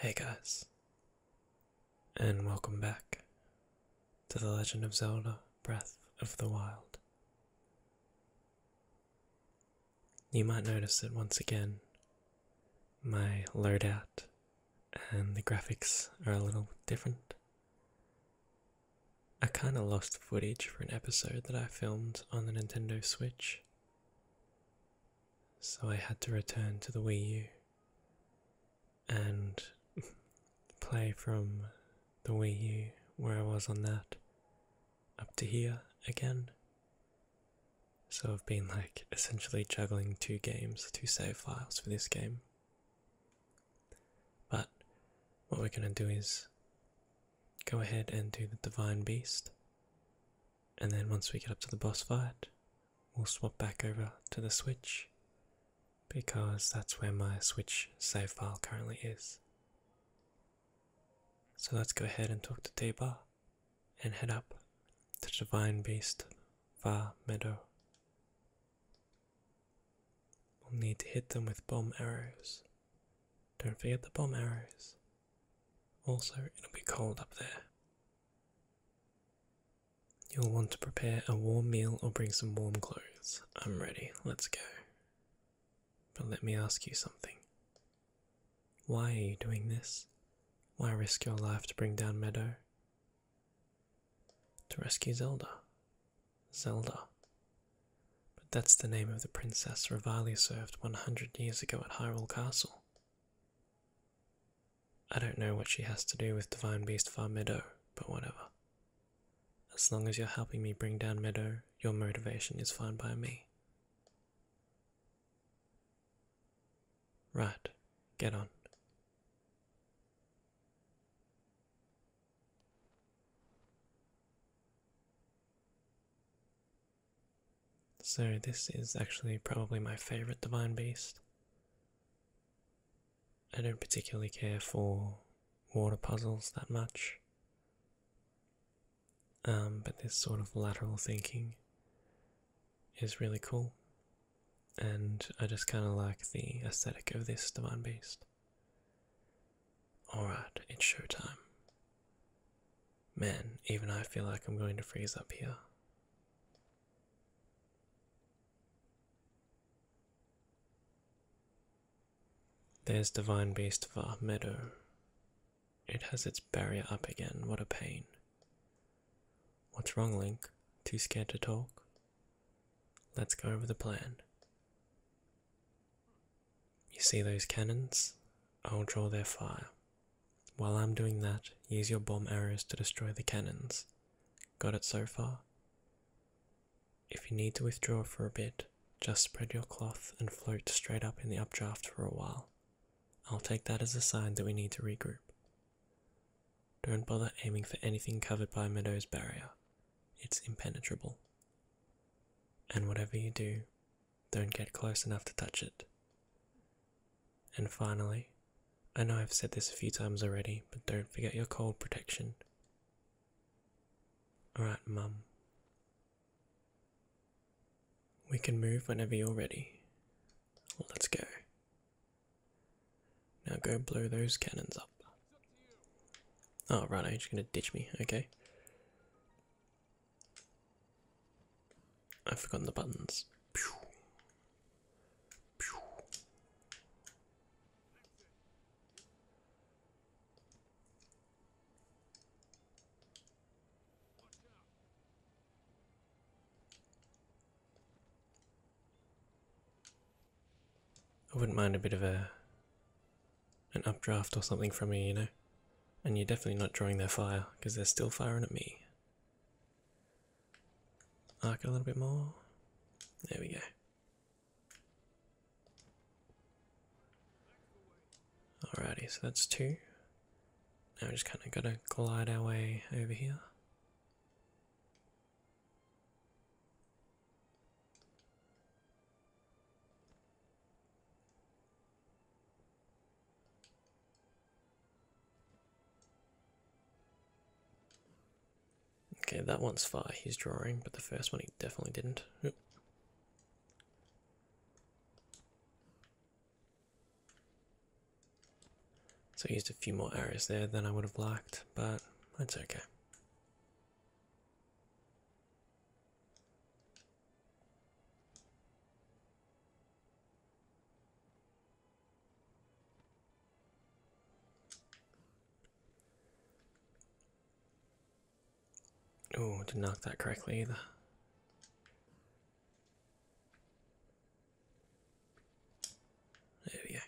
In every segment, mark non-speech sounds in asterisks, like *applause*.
Hey guys, and welcome back to The Legend of Zelda Breath of the Wild. You might notice that once again my loadout and the graphics are a little different. I kinda lost footage for an episode that I filmed on the Nintendo Switch, so I had to return to the Wii U and *laughs* play from the Wii U where I was on that up to here again so I've been like essentially juggling two games, two save files for this game. But what we're going to do is go ahead and do the Divine Beast. And then once we get up to the boss fight, we'll swap back over to the Switch because that's where my Switch save file currently is. So let's go ahead and talk to T-Bar and head up to the vine-based far meadow. We'll need to hit them with bomb arrows. Don't forget the bomb arrows. Also, it'll be cold up there. You'll want to prepare a warm meal or bring some warm clothes. I'm ready, let's go. But let me ask you something. Why are you doing this? Why risk your life to bring down Meadow? To rescue Zelda. Zelda. But that's the name of the princess Rivali served 100 years ago at Hyrule Castle. I don't know what she has to do with Divine Beast Far Meadow, but whatever. As long as you're helping me bring down Meadow, your motivation is fine by me. Right, get on. So, this is actually probably my favourite Divine Beast. I don't particularly care for water puzzles that much. Um, but this sort of lateral thinking is really cool, and I just kind of like the aesthetic of this divine beast. Alright, it's showtime. Man, even I feel like I'm going to freeze up here. There's Divine Beast of meadow. It has its barrier up again. What a pain. What's wrong, Link? Too scared to talk? Let's go over the plan. You see those cannons? I'll draw their fire. While I'm doing that, use your bomb arrows to destroy the cannons. Got it so far? If you need to withdraw for a bit, just spread your cloth and float straight up in the updraft for a while. I'll take that as a sign that we need to regroup. Don't bother aiming for anything covered by Meadow's barrier. It's impenetrable. And whatever you do, don't get close enough to touch it. And finally, I know I've said this a few times already, but don't forget your cold protection. Alright, Mum. We can move whenever you're ready. Let's go. Now go blow those cannons up. Oh, right, you just gonna ditch me, okay. I've forgotten the buttons. I wouldn't mind a bit of a an updraft or something from you, you know. And you're definitely not drawing their fire because they're still firing at me. Arc it a little bit more. There we go. Alrighty, so that's two. Now we are just kind of going to glide our way over here. Okay, that one's far he's drawing, but the first one he definitely didn't. So I used a few more arrows there than I would have liked, but that's okay. Oh, didn't knock that correctly either. There we go.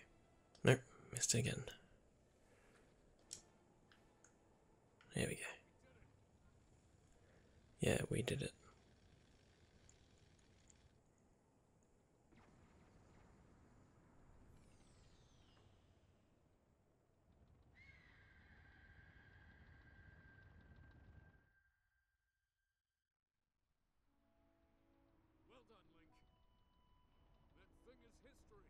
Nope, missed it again. There we go. Yeah, we did it. Well done, Link. That thing is history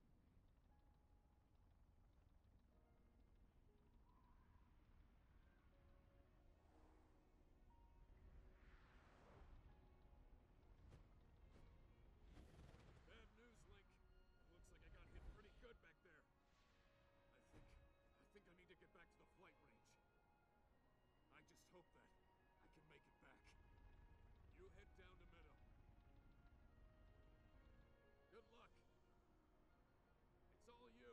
news, Link. Looks like I got hit pretty good back there. I think... I think I need to get back to the flight range. I just hope that I can make you head down the middle. Good luck. It's all you.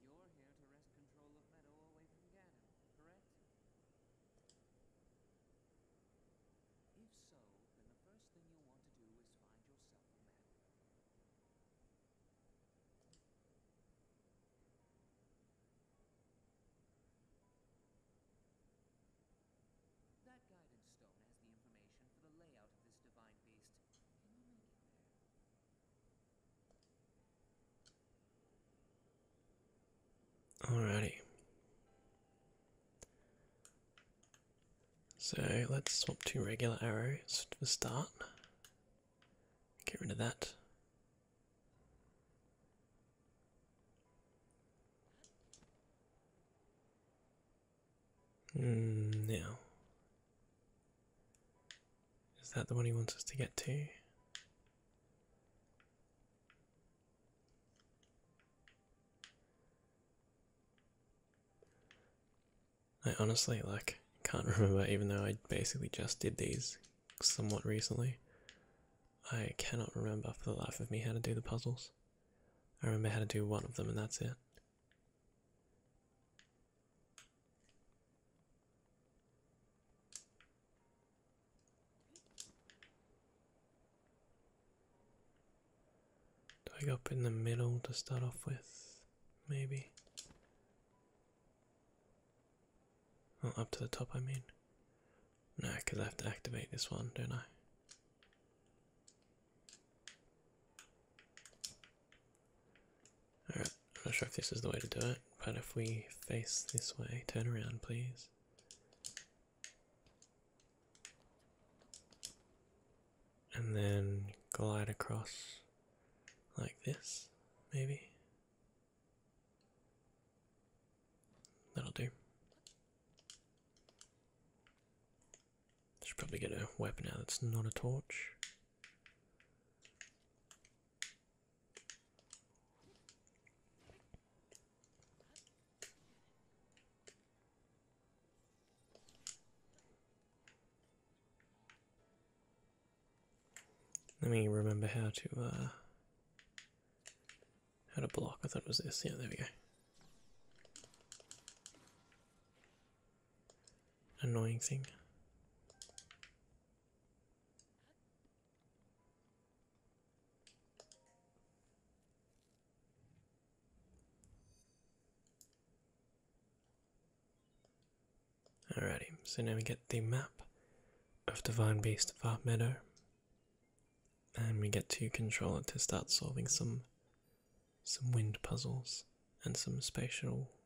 You're here to rest control of Meadow away from Ganon, correct? If so, then the first thing you'll want to do is find yourself a That guidance stone has the information for the layout of this divine beast. Can you make it there? Alrighty. So let's swap to regular arrows for start. Get rid of that. Mm, now, is that the one he wants us to get to? I honestly like can't *laughs* remember even though I basically just did these somewhat recently. I cannot remember for the life of me how to do the puzzles. I remember how to do one of them and that's it. I Dig up in the middle to start off with, maybe. Oh, up to the top, I mean. No, because I have to activate this one, don't I? Alright, I'm not sure if this is the way to do it, but if we face this way, turn around please. And then glide across like this, maybe. That'll do. Should probably get a weapon out that's not a torch. Let me remember how to uh how to block. I thought it was this. Yeah, there we go. Annoying thing. Alrighty, so now we get the map of Divine Beast Far Meadow, and we get to control it to start solving some some wind puzzles and some spatial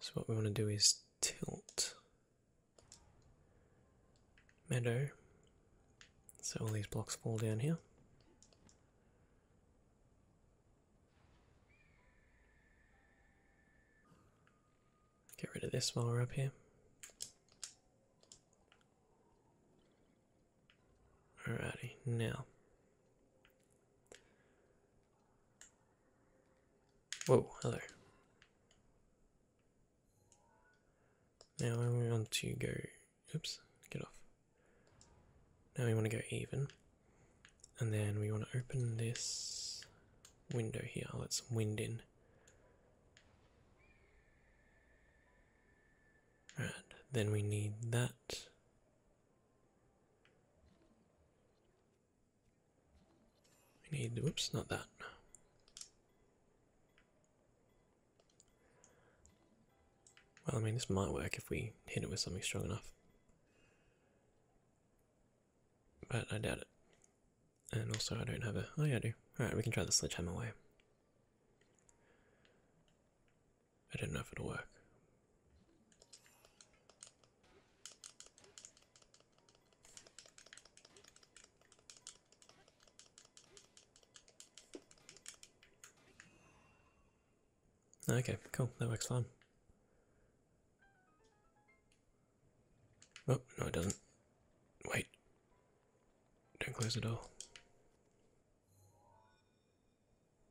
So what we want to do is tilt meadow. So all these blocks fall down here. Get rid of this while we're up here. Alrighty, now Whoa, hello. Now we want to go, oops, get off. Now we want to go even. And then we want to open this window here. let some wind in. Right, then we need that. We need, whoops, not that. Well, I mean, this might work if we hit it with something strong enough. But I doubt it. And also, I don't have a. Oh, yeah, I do. Alright, we can try the sledgehammer way. I don't know if it'll work. Okay, cool, that works fine. Oh, no, it doesn't. Wait. Don't close the door.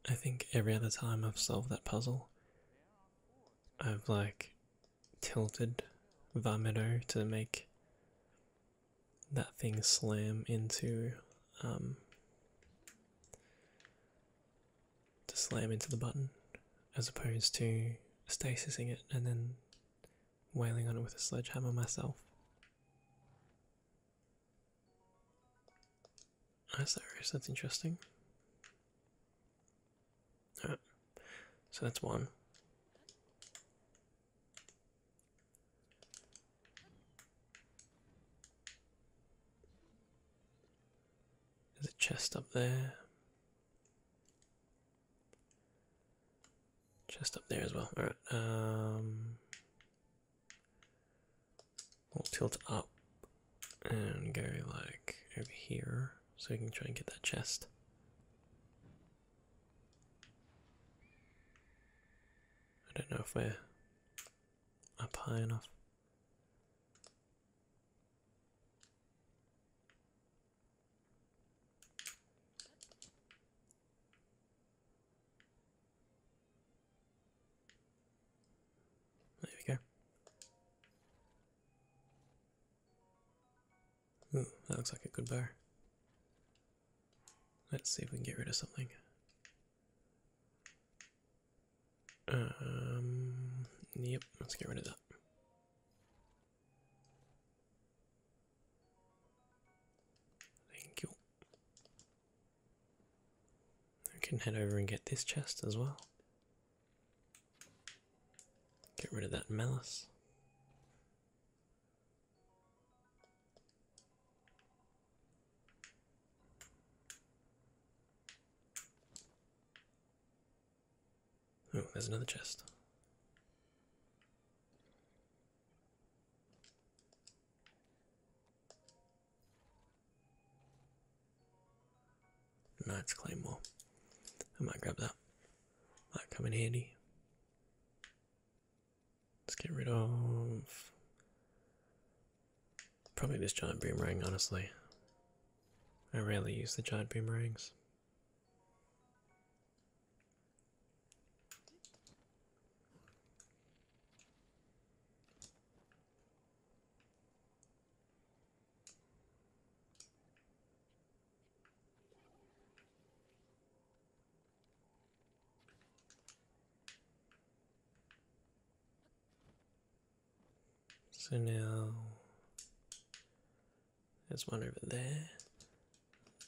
I think every other time I've solved that puzzle, I've like tilted Vomito to make that thing slam into um, to slam into the button as opposed to stasising it and then wailing on it with a sledgehammer myself. Ice Iris, that's interesting. All right. So that's one. There's a chest up there. Chest up there as well. Alright, um we'll tilt up and go like over here so we can try and get that chest. I don't know if we're up high enough. There we go. Ooh, hmm, that looks like a good bar. Let's see if we can get rid of something. Um, yep, let's get rid of that. Thank you. I can head over and get this chest as well. Get rid of that malice. Oh, there's another chest. Knight's Claymore. I might grab that. Might come in handy. Let's get rid of probably this giant boomerang, honestly. I rarely use the giant boomerangs. So now there's one over there.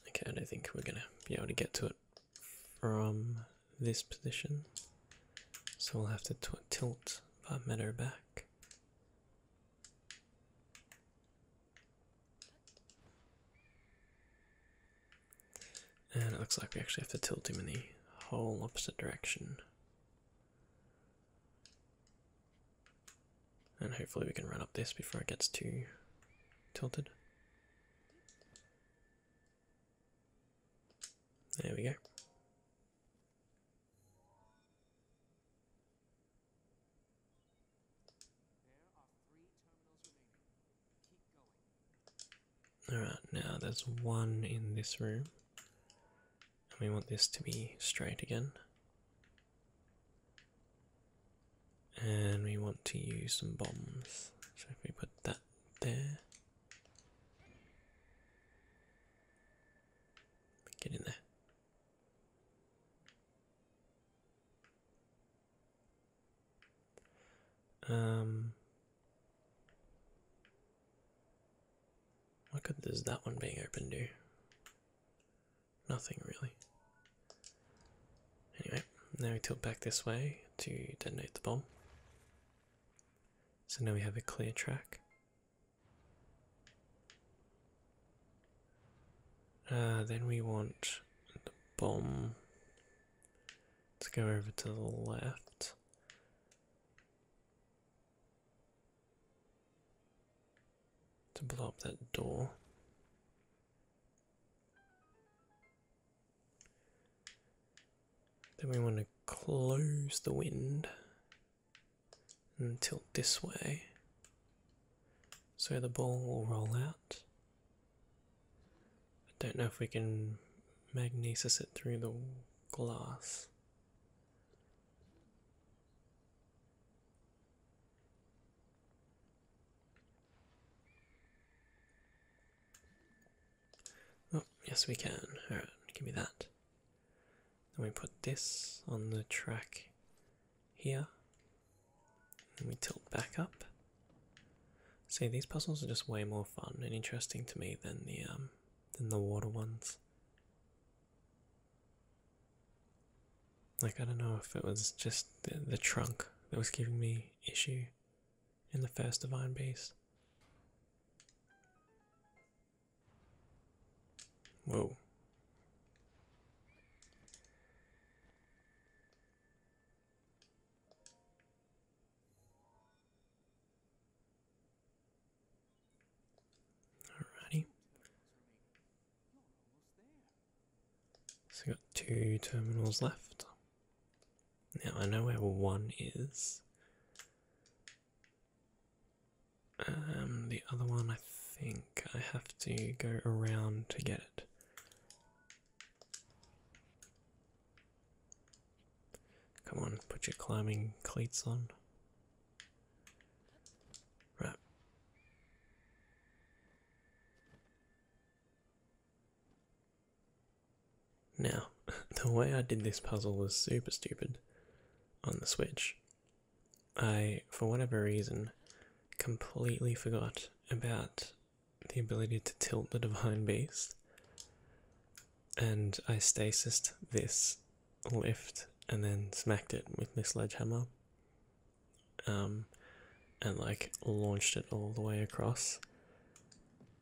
Okay, I don't think we're gonna be able to get to it from this position. So we'll have to tilt our meter back. And it looks like we actually have to tilt him in the whole opposite direction. And hopefully we can run up this before it gets too tilted. There we go. Alright, now there's one in this room. And we want this to be straight again. And we want to use some bombs. So if we put that there. Get in there. Um, what good is that one being open do? Nothing really. Anyway, now we tilt back this way to detonate the bomb. So now we have a clear track. Uh, then we want the bomb to go over to the left. To blow up that door. Then we want to close the wind and tilt this way so the ball will roll out. I don't know if we can magnesis it through the glass. Oh, yes, we can. Alright, give me that. Then we put this on the track here. And we tilt back up. See, these puzzles are just way more fun and interesting to me than the um, than the water ones. Like I don't know if it was just the trunk that was giving me issue in the first divine beast. Whoa. Alrighty. So we got two terminals left. Now I know where one is. Um, the other one, I think I have to go around to get it. Come on, put your climbing cleats on. Right. Now, *laughs* the way I did this puzzle was super stupid on the Switch. I, for whatever reason, completely forgot about the ability to tilt the divine beast, and I stasised this lift and then smacked it with the sledgehammer, um, and like launched it all the way across,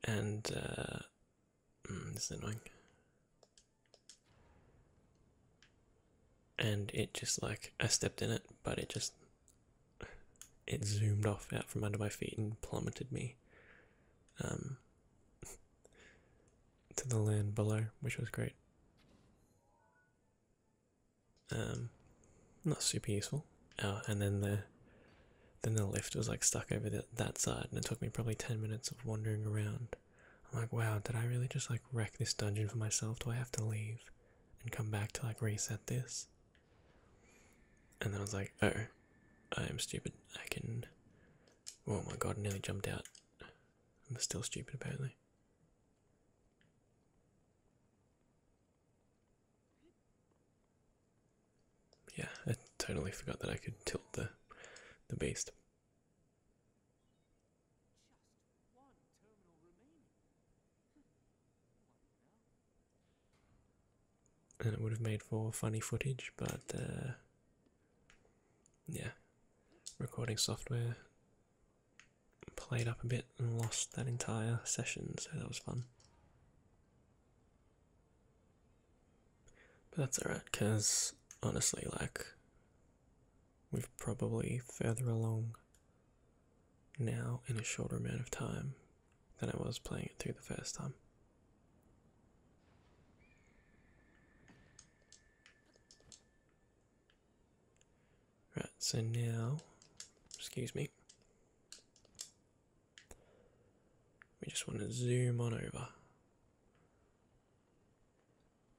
and uh, mm, this is annoying and it just like I stepped in it, but it just it zoomed off out from under my feet and plummeted me um, *laughs* to the land below, which was great. Um, not super useful. Oh, and then the then the lift was like stuck over that side, and it took me probably ten minutes of wandering around I'm like, wow, did I really just like wreck this dungeon for myself? Do I have to leave and come back to like reset this? And then I was like, oh, I am stupid. I can. Oh my god, I nearly jumped out. I'm still stupid apparently. Yeah, I totally forgot that I could tilt the the beast. Hmm. and it would have made for funny footage, but uh, yeah, recording software played up a bit and lost that entire session, so that was fun. But that's alright, because honestly, like, we're probably further along now in a shorter amount of time than I was playing it through the first time. Right, so now, excuse me, we just want to zoom on over.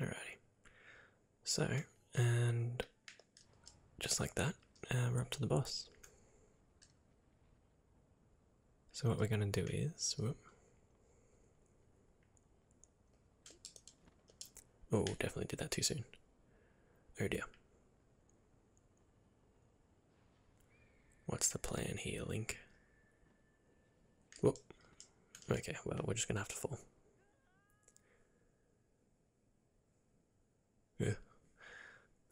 Alrighty. So, and just like that, uh, we're up to the boss. So what we're going to do is, Oh, definitely did that too soon. Oh dear. What's the plan here, Link? Whoop. Okay, well, we're just going to have to fall. Yeah.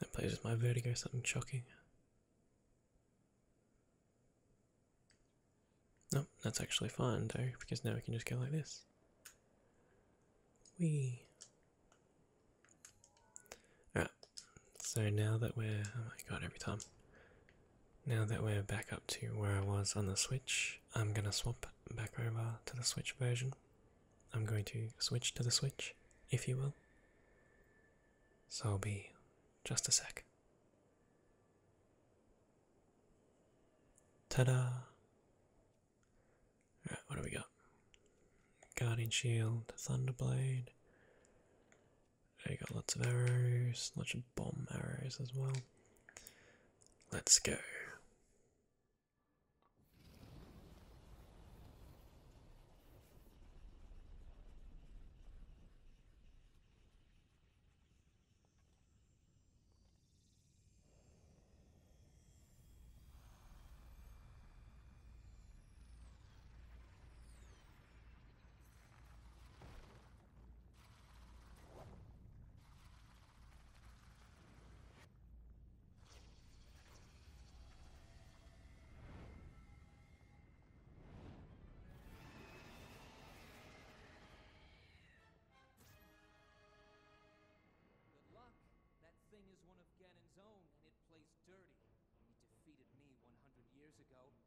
That plays with my vertigo, something shocking. No, that's actually fine though, because now we can just go like this. We. Alright, so now that we're oh my god every time. Now that we're back up to where I was on the Switch, I'm gonna swap back over to the Switch version. I'm going to switch to the Switch, if you will. So I'll be just a sec. Ta da! Alright, what do we got? Guardian Shield, Thunderblade, I got lots of arrows, lots of bomb arrows as well. Let's go. That thing is one of Ganon's own, and it plays dirty. He defeated me 100 years ago,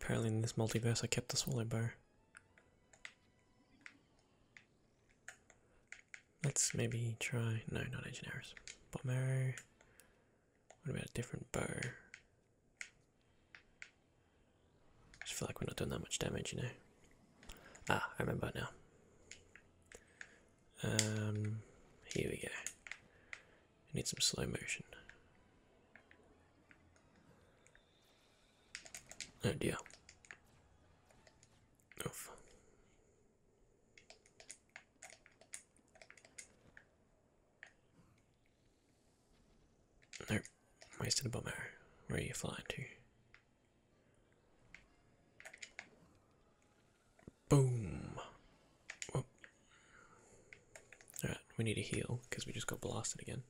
apparently in this multiverse I kept the swallow bow. Let's maybe try, no, not ancient arrows. Bomb arrow. What about a different bow? I just feel like we're not doing that much damage, you know. Ah, I remember now. Um, here we go. need some slow motion. Oh dear. Oof. Nope. Wasted a bomb arrow. Where are you flying to? Boom. Oh. Alright, we need to heal because we just got blasted again.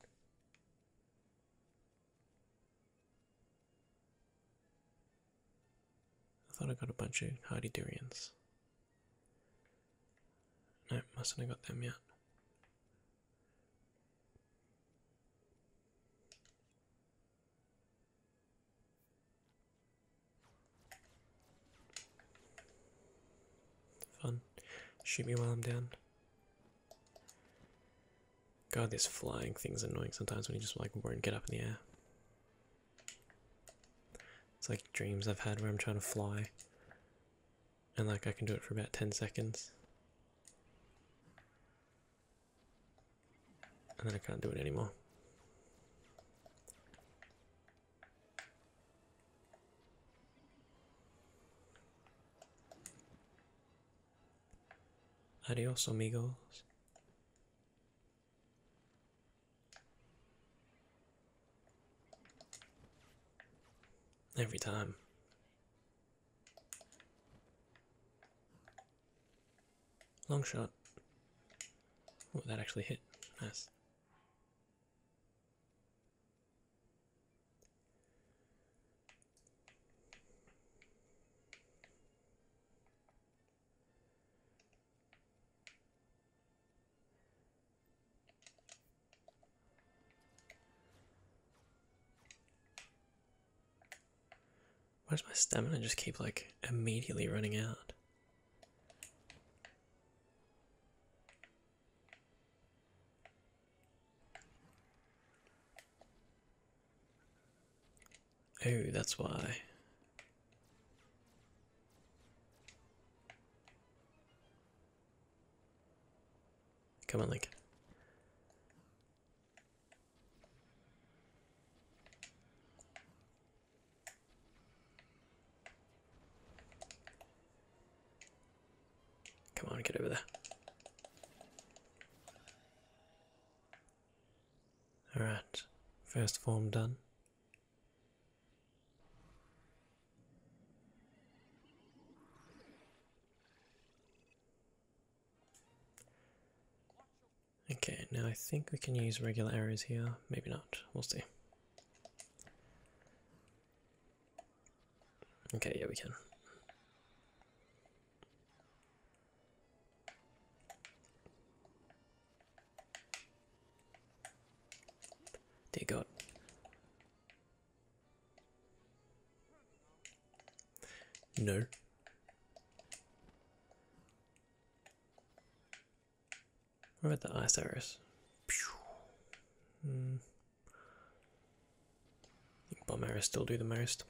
I thought I got a bunch of hardy durians. No, mustn't have got them yet. Fun. Shoot me while I'm down. God, this flying thing's annoying sometimes when you just like won't get up in the air. It's like dreams I've had where I'm trying to fly. And like I can do it for about 10 seconds. And then I can't do it anymore. Adios, amigos. Every time. Long shot. Oh, that actually hit. Nice. Why does my stamina just keep like immediately running out? Oh, that's why. Come on, Link. Come on, get over there. Alright, first form done. Okay, now I think we can use regular arrows here. Maybe not. We'll see. Okay, yeah, we can. Dear God. No. What about the ice iris? Mm. I bomb arrows still do the most.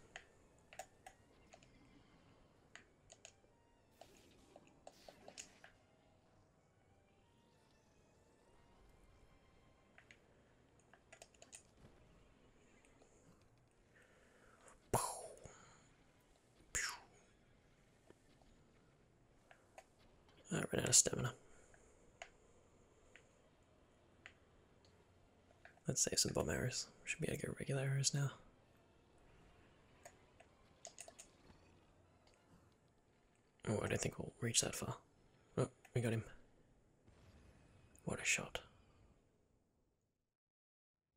I ran out of stamina. Let's save some bomb arrows. Should be able to get regular arrows now. Oh, I don't think we'll reach that far. Oh, we got him. What a shot.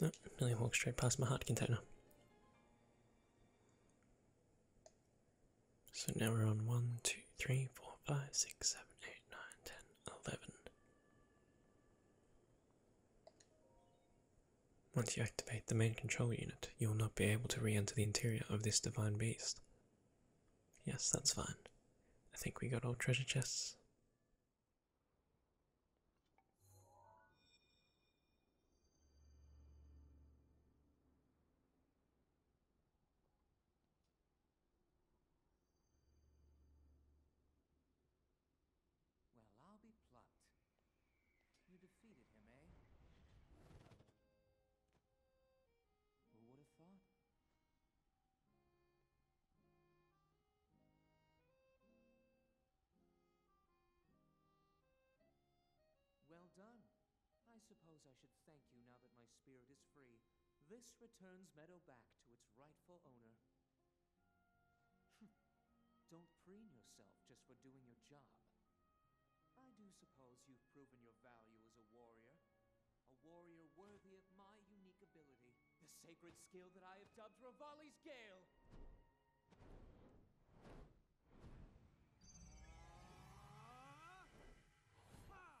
No, nearly walked straight past my heart container. So now we're on 1, 2, 3, 4, 5, 6, 7, 8, 9, 10, 11. Once you activate the main control unit, you will not be able to re-enter the interior of this divine beast. Yes, that's fine. I think we got all treasure chests. Well, I'll be plucked. You defeated him, eh? Who would have thought? Well done. I suppose I should thank you now that my spirit is free. This returns Meadow back to its rightful owner. *laughs* Don't preen yourself just for doing your job. I do suppose you've proven your value as a warrior. A warrior worthy of my unique ability. The sacred skill that I have dubbed Ravali's Gale! Ah!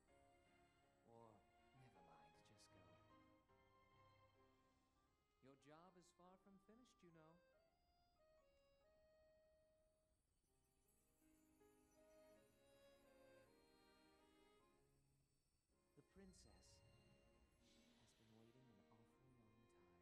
Or, never mind, just go. Your job is far from finished, you know. The princess has been waiting an awful long time.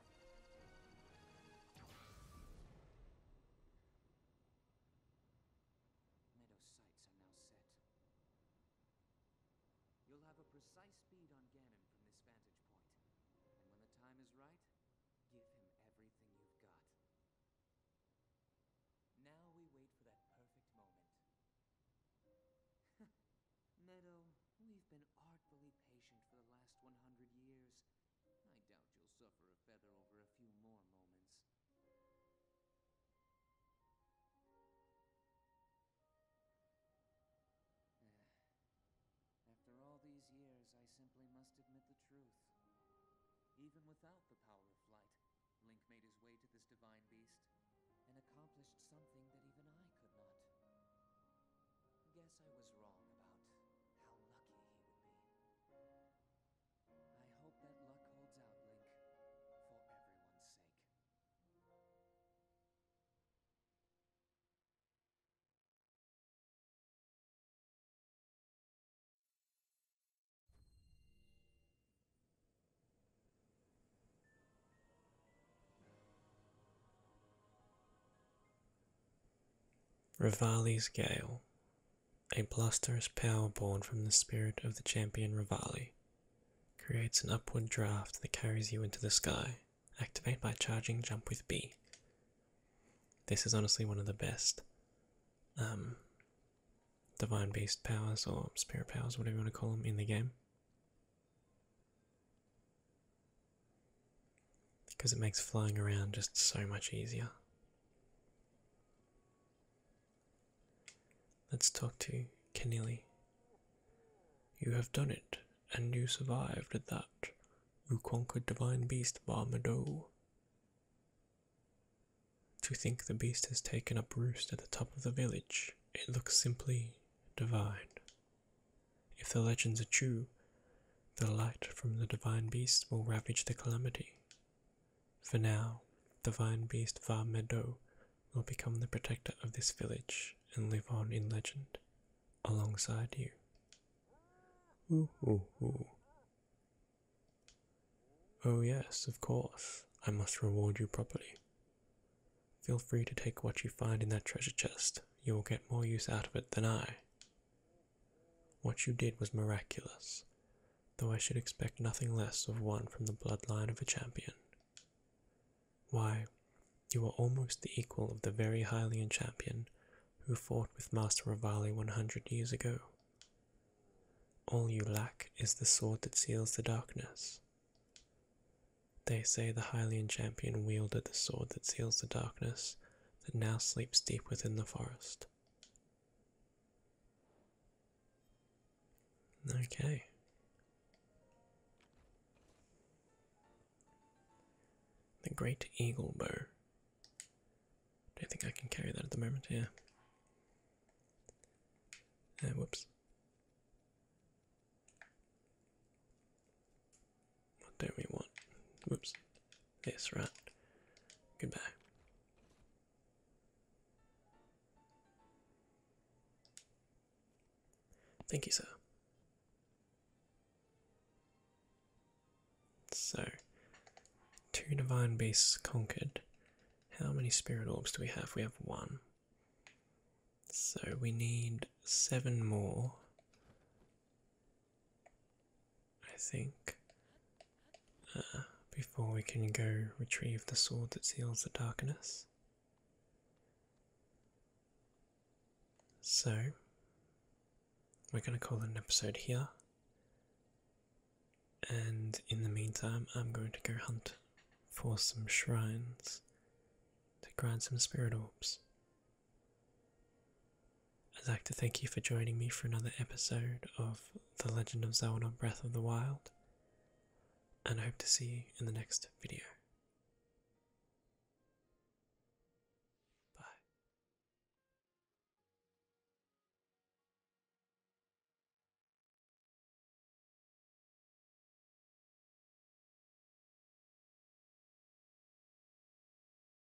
Meadow sights are now set. You'll have a precise bead on Ganon from this vantage And when the time is right, give him everything you've got. Now we wait for that perfect moment. *laughs* Meadow, we've been artfully patient for the last 100 years. I doubt you'll suffer a feather over a few more moments. Eh, after all these years, I simply must admit the truth. Even without the power of flight, Link made his way to this divine beast and accomplished something that even I could not. Guess I was wrong about how lucky he would be. I hope that luck holds out, Link. For everyone's sake. Rivali's Gale, a blusterous power born from the spirit of the champion Rivali, creates an upward draft that carries you into the sky. Activate by charging jump with B. This is honestly one of the best um, divine beast powers or spirit powers, whatever you want to call them, in the game because it makes flying around just so much easier. Let's talk to Keneally. You have done it, and you survived at that. You conquered divine beast Barmado. To think the beast has taken up roost at the top of the village, it looks simply divine. If the legends are true, the light from the divine beast will ravage the calamity. For now, the divine beast Va Medo will become the protector of this village and live on in legend, alongside you. Ooh, ooh, ooh. Oh yes, of course. I must reward you properly. Feel free to take what you find in that treasure chest. You will get more use out of it than I. What you did was miraculous, though I should expect nothing less of one from the bloodline of a champion. Why, you are almost the equal of the very Hylian champion who fought with Master Rivali 100 years ago. All you lack is the sword that seals the darkness. They say the Hylian champion wielded the sword that seals the darkness that now sleeps deep within the forest. Okay. The Great Eagle Bow. Don't think I can carry that at the moment, yeah. Uh, whoops. What do we want? Whoops. Yes, right. Goodbye. Thank you, sir. So, two divine beasts conquered. How many spirit orbs do we have? We have one. So we need seven more I think uh, before we can go retrieve the sword that seals the darkness. So, we're going to call it an episode here. And in the meantime, I'm going to go hunt for some shrines to grind some spirit orbs. I'd like to thank you for joining me for another episode of The Legend of Zelda Breath of the Wild, and I hope to see you in the next video. Bye.